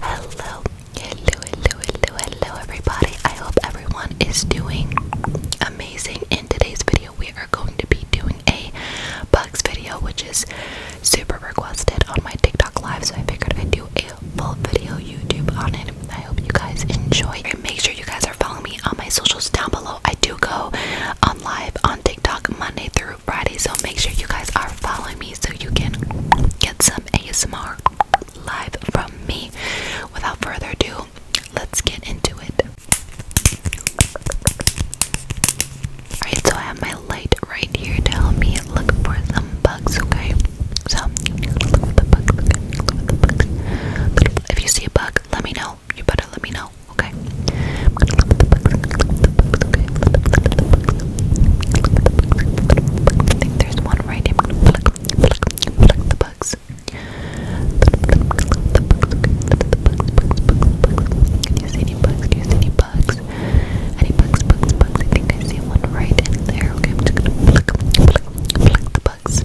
Hello, hello, hello, hello, everybody. I hope everyone is doing amazing. In today's video, we are going to be doing a bugs video, which is super requested on my TikTok live. So I figured I'd do a full video YouTube on it. I hope you guys enjoy. Make sure you guys are following me on my socials down below. I do go on live on TikTok Monday through Friday. So make sure you guys are following me so you can get some ASMR live from me. Without further ado, let's get into it. Alright, so I have my light right here to help me look for some bugs, okay? So, If you see a bug, let me know. You better let me know, okay? there's one right here. the bugs. Can you see any bugs? Can you see any bugs? Any bugs, bugs, bugs? I think I see one right in there. Okay, the bugs.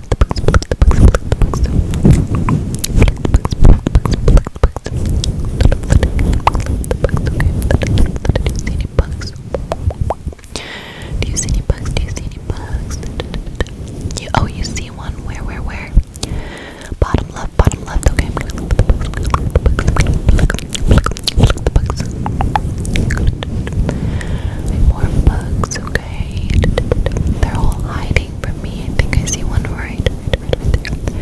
Flick the books, flick the books, flick the books. Flick the books, flick the books, flick the books. Do you see any bugs? Do you see any bugs? Do you see any bugs? You, oh, you see one. Where, where, where? Bottom left, bottom left. Okay, I'm gonna look the bugs. Look, look, look the bugs. More bugs okay. They're all hiding from me. I think I see one right, right, right, right there.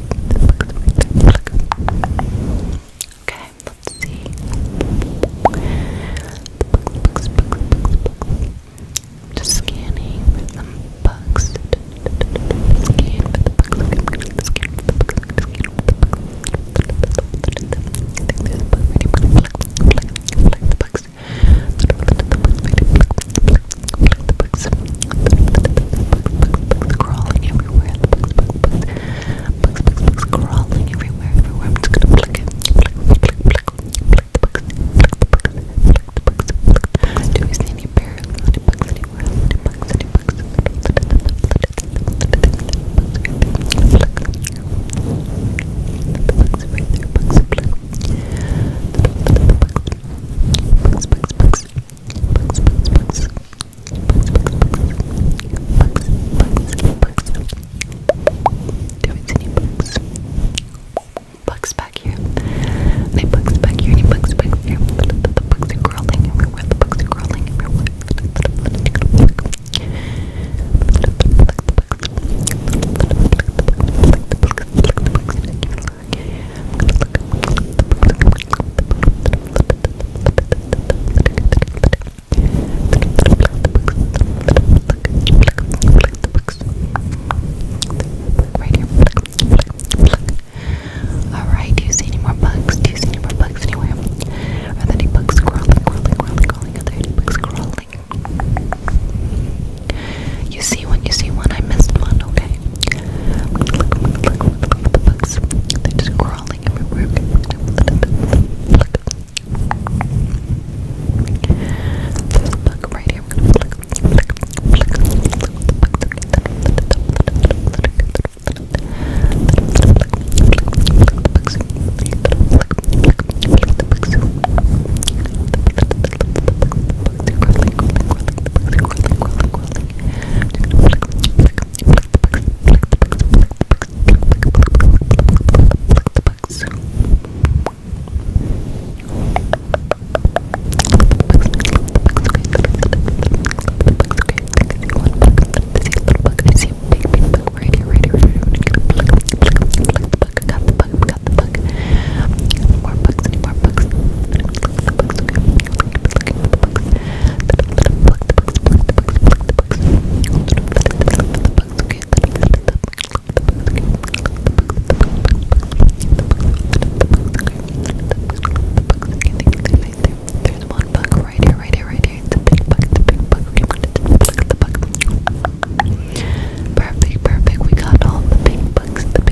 Okay, let's see. Just scanning for some bugs. Scan for the bugs. Scan for the bugs. Scan for the bugs. I think there's a bug right here. Pluck, pluck, pluck the bugs. Pluck the bugs right here. Pluck, pluck, the books, crawling everywhere, books, books, books, crawling everywhere, everywhere. I'm just gonna flick it, flick, flick, flick, flick the books, flick the books, flick the books, flick. Do we see any bears? Any bugs anywhere? Any bugs? Any bugs? Bugs right there, bugs, bugs. Bugs, bugs, bugs bugs, bugs, bugs, bugs, bugs, bugs, bugs, bugs. There is any bugs. Bugs back here. Any bugs back here. Any bugs back here. The bugs are crawling everywhere. The bugs are crawling everywhere. The bugs. Alright, you see any more bugs? Do you see any more bugs anywhere? Are there any bugs crawling, crawling, crawling, crawling? Are there any bugs crawling? You see one, you see one, I missed one, okay the bugs. They're just crawling everywhere. There's a bug right here. We're gonna pluck, pluck, pluck, Got the bug, got the bug. More bugs, any more bugs. There's one bug right here, right here, right here. It's a big bug, it's a big bug. Okay, we're gonna look at the bug. Perfect, perfect. We got all the big bugs, the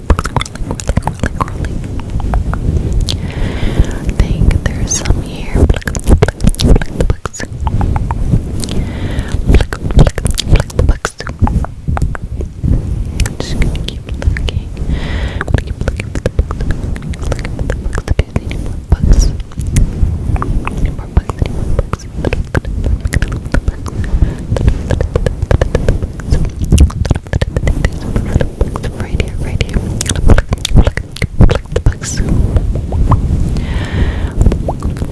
curling, curling, I think there's some here. I'm just gonna keep looking. I'm gonna keep looking for the books. Do they need more books? Any more books? Any more books? Any more books? Right here, right here. Pluck, pluck, pluck the bugs. Pluck the bugs.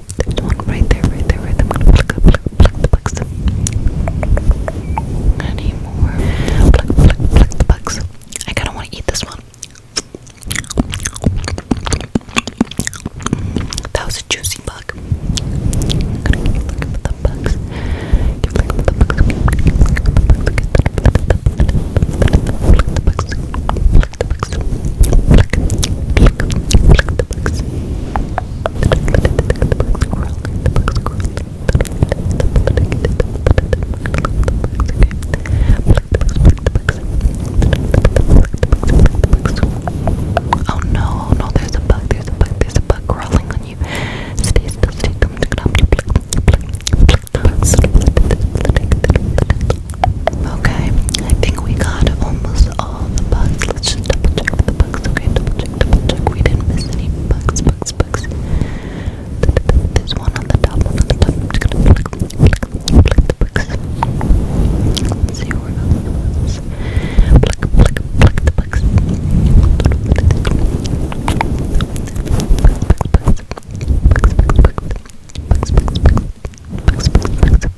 There's one right there, right there, right there. i pluck, pluck, pluck the bugs. Any more? Pluck, pluck, pluck the bugs. I kinda wanna eat this one. That was a juicy bug. Pluck, pluck, pluck the bugs. Oh no, no, there's a bug, there's a bug, there's a bug crawling on you. Stay still, stay still. Okay, I think we got almost all the bugs. Let's just double check the bugs. Okay, double check, double check. We didn't miss any bugs, bugs, bugs. There's one on the top, one on the top. I'm just gonna flick, flick, flick the bugs. Let's see where else. Flick, flick, flick the bugs. Bugs, bugs, bugs. Bugs, bugs, bugs. Bugs, bugs, bugs.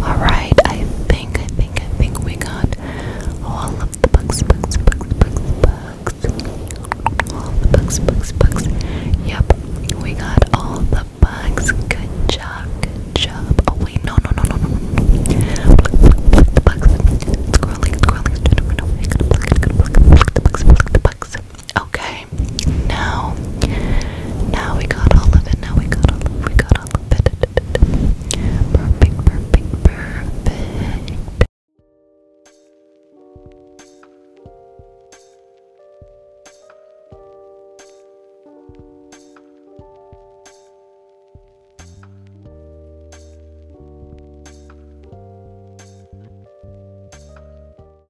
Alright, I think, I think, I think we got all of the books, books, books, books, books. All the books, books, books. Yep, we got all the bugs. Good job, good job. Oh wait, no, no, no, no, no. Bugs, bugs, Scrolling, scrolling, scrolling. Pluck the bugs, pluck the bugs, the bugs. Okay, now, now we got all of it. Now we got all of it. We got all of it.